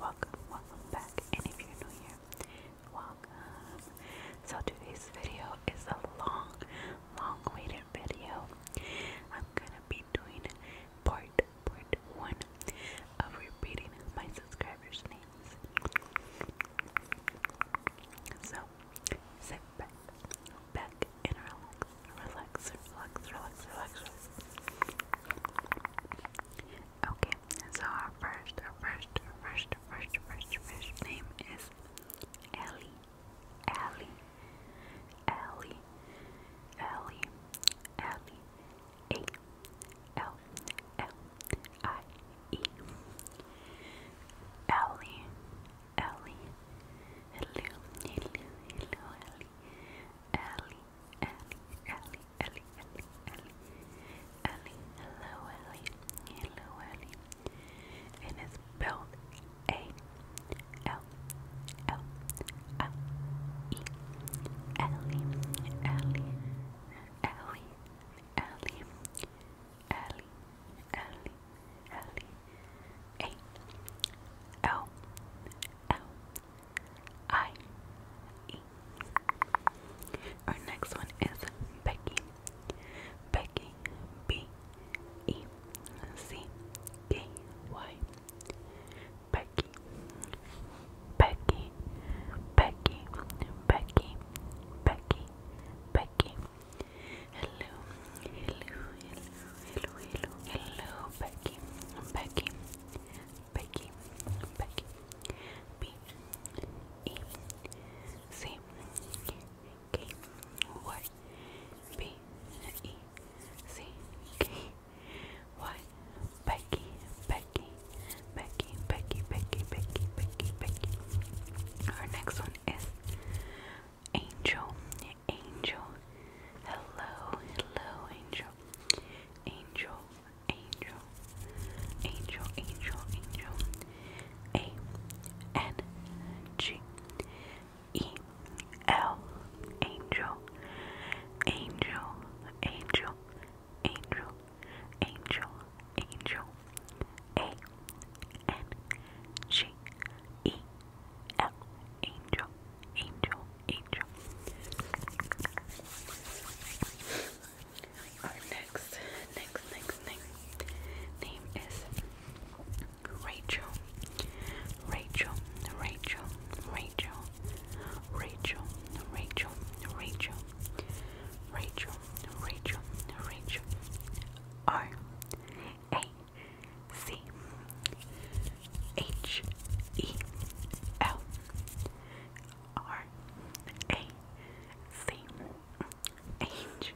Welcome, welcome back, and if you're new here, welcome. So today's video is a long, long-awaited video. I'm gonna be doing part part one of repeating my subscribers' names. So sit back, back and relax, relax, relax, relax, relax, Okay, so our first, our first, our first, first, first, first name is Ellie, Ellie, Ellie, Ellie, Ellie, A, L, L, I, E. Ellie, Ellie, hello, hello, hello, Ellie, Ellie, Ellie, Ellie, Ellie, Ellie, Ellie, Ellie, hello, Ellie, hello, Ellie. It is spelled A, L, L, I, E, Ellie, Ellie, Ellie, Ellie. Ellie, Ellie, Ellie, Our next one is Becky, Becky, B, E, C, K, Y. Becky, Becky, Becky, Becky, Becky, Becky, hello, hello, hello, hello, hello, Becky, Becky, Becky, Becky. B E C K Y B E C K Y Becky, Becky. Becky, Becky, Becky, Becky, Becky, Becky, Our next one is Angel, Angel. Hello, hello, Angel, Angel, Angel, Angel, Angel. A N G E L Angel, Angel, Angel angel, angel, angel, A N G E L, angel, angel, angel. Our next, next, next, next name is Rachel. Rachel, Rachel, Rachel, Rachel, Rachel, Rachel, Rachel, Rachel, Rachel, R A C H E L R A C H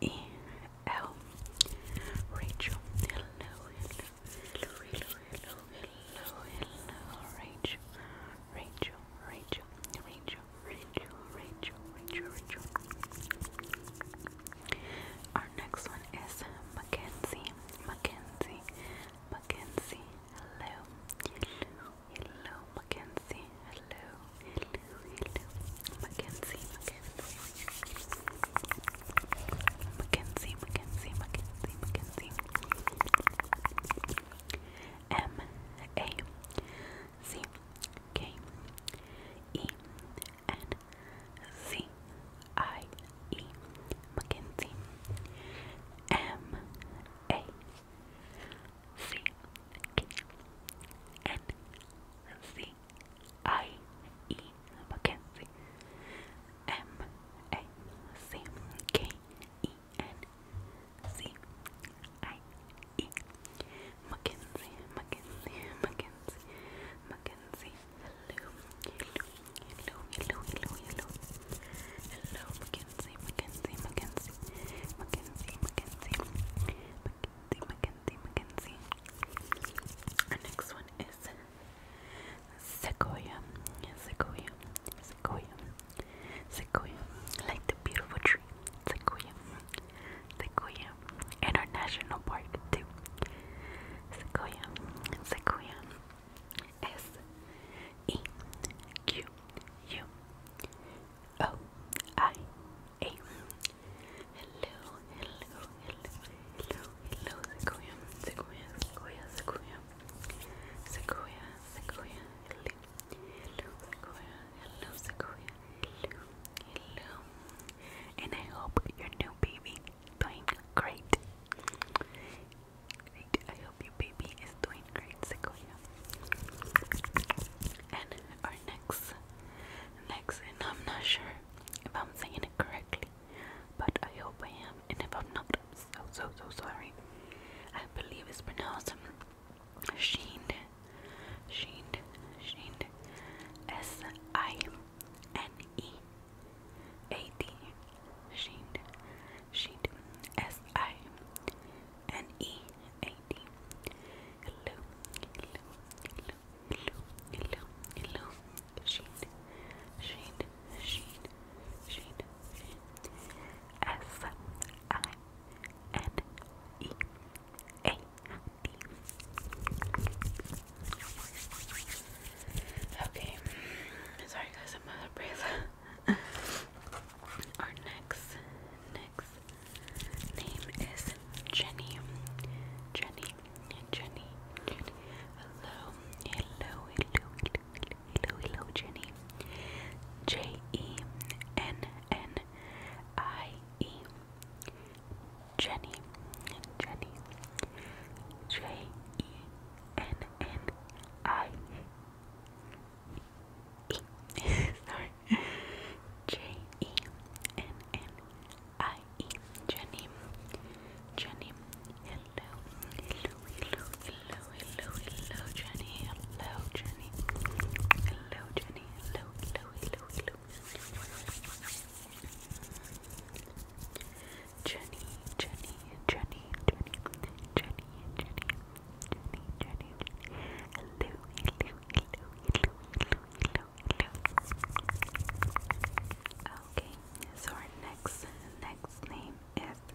E L Rachel, hello, hello, hello, hello, hello, Rachel, Rachel, Rachel, Rachel. Rachel, Rachel, Rachel, Rachel. Our next one is Mackenzie, Mackenzie, Mackenzie. Hello, hello, hello, Mackenzie. Hello, hello, hello, Mackenzie, Mackenzie, Mackenzie, Mackenzie, Mackenzie, Mackenzie. M A C K E N C I E Mackenzie M A C K N C I E Mackenzie M A C K E N C I E Mackenzie, Mackenzie, Mackenzie, Mackenzie. Hello, hello, hello, hello, hello, hello, Mackenzie, Mackenzie, Mackenzie, Mackenzie, Mackenzie, Mackenzie, Mackenzie, Mackenzie. Our next one is Sequoia, Sequoia, Sequoia. Sequoia, like the beautiful tree, Sequoia, Sequoia, in our national park too. Sequoia, Sequoia, S E Q U O I A. Hello, hello, hello, hello, hello, Sequoia, Sequoia, Sequoia, Sequoia, Sequoia, Sequoia. Hello, Sequoia. Hello, Sequoia. Hello. Hello. And I hope your new baby is doing great. Great. I hope your baby is doing great, Sequoia. And our next, next, and I'm not sure if I'm saying it correctly, but I hope I am. And if I'm not so, so, so sorry. I believe it's pronounced Sheened. Sheened. Sheened. S I N E A D. Sheened. Sheened. S I N E A D. Hello. Hello. Hello. Hello. Hello. Hello. Sheened. Sheened. Sheened. Sheen, Sheen, S I N E A D. Okay, sorry guys, I'm out of breath. Our next, next name is Jenny. Jenny, Jenny, hello, hello, hello, hello, hello, Jenny. J E N N I E. Jenny, Jenny. J E N N I E. Sorry. J E N N I E. Jenny, Jenny hello, hello, hello, hello, hello, Jenny, hello, Jenny, hello, Jenny, hello, hello, hello, hello, Jenny, Jenny, Jenny, Jenny, Jenny, Jenny, Jenny, Jenny, hello, hello, hello, hello, hello, hello, hello. Okay, so our next next name is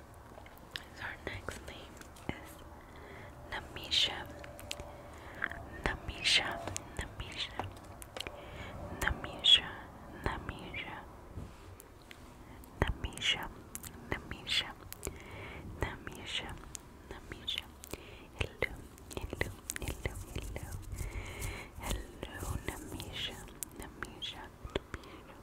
So our next name is Namisha. Namisha. Namisha. Namisha. Namisha. Namisha. Namisha. Namisha. Namisha. Hello. Hello. Hello. Hello. Hello, Namisha. Namisha. Namisha.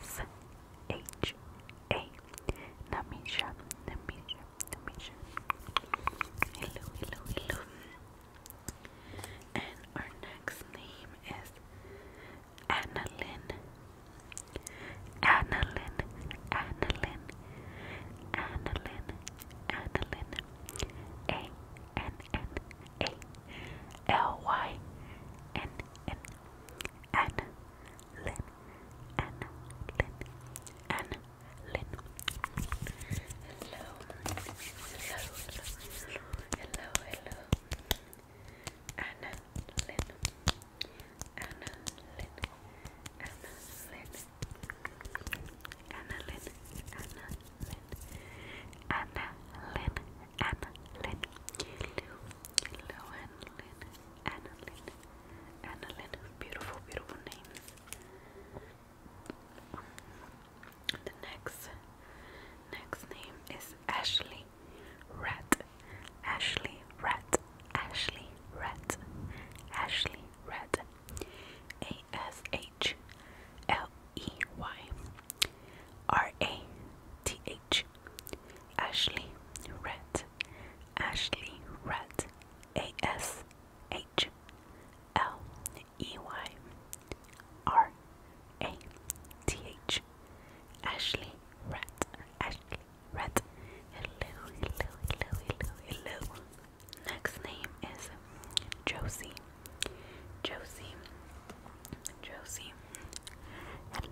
S H A Namisha Namisha Namisha Hello hello hello And our next name is Annalyn Annalyn Annalyn Annalyn Annalyn A N N A L Y N N and Lynn, and Lynn, and Lynn. Hello, hello, hello, hello, hello, Anna Lynn, Anna Lynn, Anna Lynn, Anna Lynn, Anna Lynn, and Lynn, Lou, Lou and Lynn, Annalyn, Annalyn, beautiful, beautiful names. The next, next name is Ashley Rat, Ashley Rat, Ashley Rat, Ashley Rat, A S H L E Y R A T H Ashley Red, Ashley Red, A S H L E Y R A T H, Ashley Red, Ashley Red. Hello, hello, hello, hello, hello. Next name is Josie, Josie, Josie. Hello,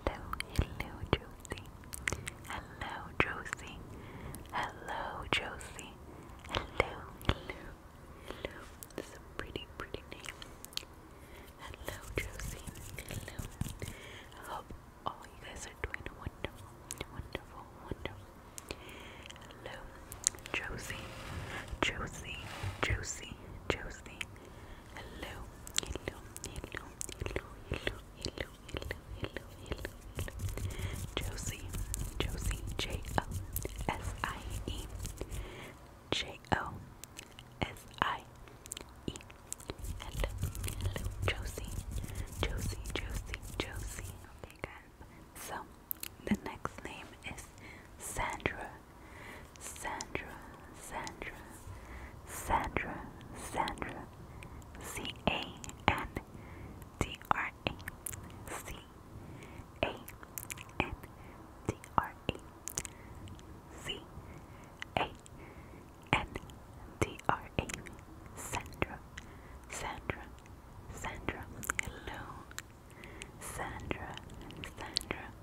hello, Josie. Hello, Josie. Hello, Josie. Hello, hello, hello. It's a pretty, pretty name. Hello, Josie. Hello. I hope all you guys are doing wonderful, wonderful, wonderful. Hello, Josie. Josie, Josie, Josie. Hello, hello, hello, hello, hello, hello, hello, hello, hello, hello. Josie, Josie, J O S I E, J O S I E. Hello, hello, Josie, Josie, Josie, Josie. Okay, guys. So the next name is Sandra Sandra, Sandra, Sandra, Sandra, C A N D R A, C A N D R A, C A N D R A, Sandra, Sandra, Sandra, hello, Sandra, Sandra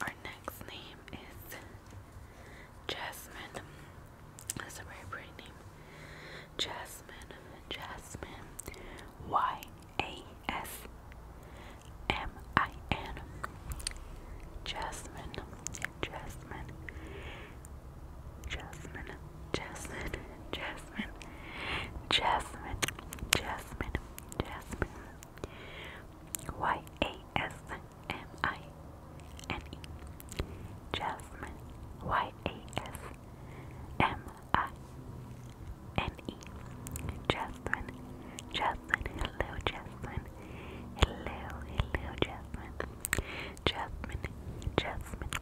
our next name is Jasmine. That's a very pretty name. Jasmine, Jasmine, Y A S M I N. Jasmine, Jasmine, Jasmine, Jasmine, Jasmine, Jasmine, Jasmine, Jasmine, Jasmine. Y A S M I N E. Jasmine. Y A S M I N E. Jasmine. Jasmine. Hello, Jasmine. Hello, hello, Jasmine. Jasmine. Jasmine.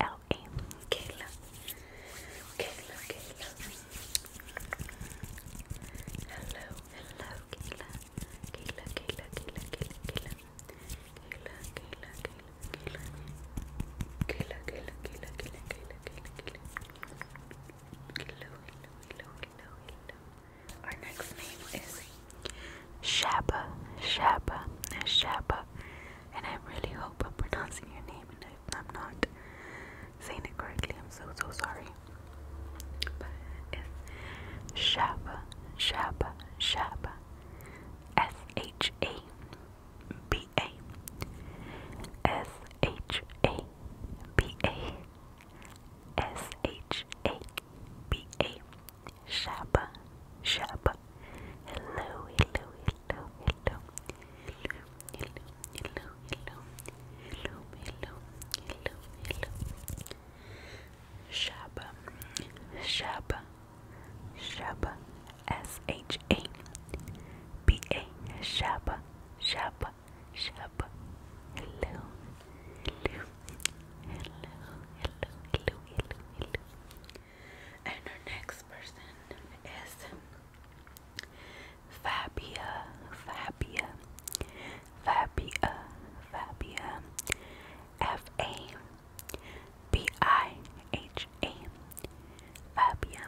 L-A. Kayla. Kayla, Kayla. Hello, hello, Kayla. Kayla, Kayla, Kayla, Kayla, Kayla. Kayla, Kayla, Kayla, Kayla. Kayla, Kayla, Kayla, Kayla, Kayla, Kayla, Kayla. Hello, hello, hello, hello, hello. Our next name is Shabba, Shabba, Shabba. And I really hope I'm pronouncing your name in a I'm not saying it correctly. I'm so so sorry. it's Shaba, Shaba, Shaba, S H A B A, S H A B A, S H A B A, Shaba, Shaba. Hello, hello, hello, hello, hello, hello, hello, hello, hello, hello, hello. Shaba, Shaba, Shaba, S H A B A, Shaba, Shaba, Shaba. Hello, hello, hello, hello, hello, hello, hello. And our next person is Fabia, Fabia, Fabia, Fabia, F A B I H A, Fabia,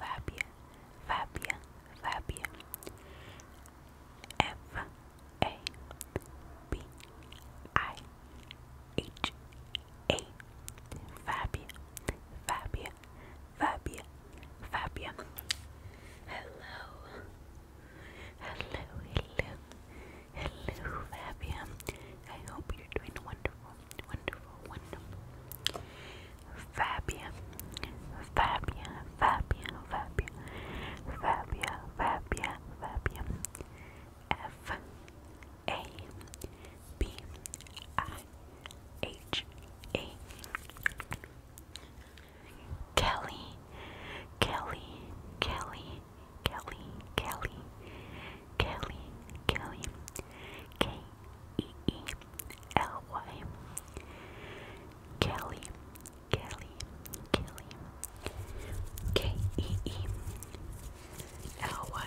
Fabia, Fabia, Fabia, F A B I H A Fabia Fabia Fabia Fabia Hello Hello hello Hello Fabia I hope you're doing wonderful wonderful wonderful Fabia Fabia Fabia Fabia Fabia Fabia Fabia F a B I H A Kelly Kelly Kelly Kelly Kelly Kelly Kelly K E E L Y Kelly Kelly Kelly K E E L Y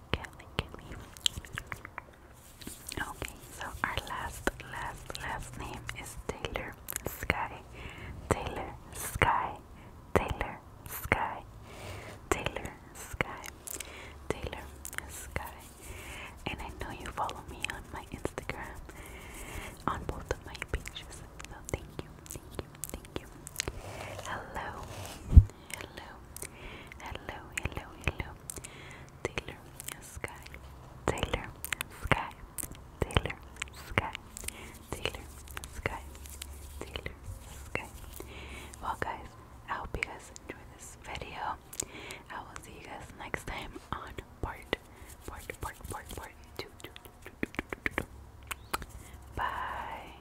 look at, Okay, so our last, last, last name is Taylor Sky. Taylor Sky. Taylor Sky. Taylor Sky. Taylor Sky. And I know you follow me on my Instagram, on both of my pages. So thank you, thank you, thank you. Hello, hello, hello, hello, hello, Taylor Sky, Taylor Sky, Taylor Sky, Taylor Sky, Taylor Sky. Well, guys, I hope you guys enjoyed this video. I will see you guys next time on part, part, part, part, part two, two, two, two. Bye.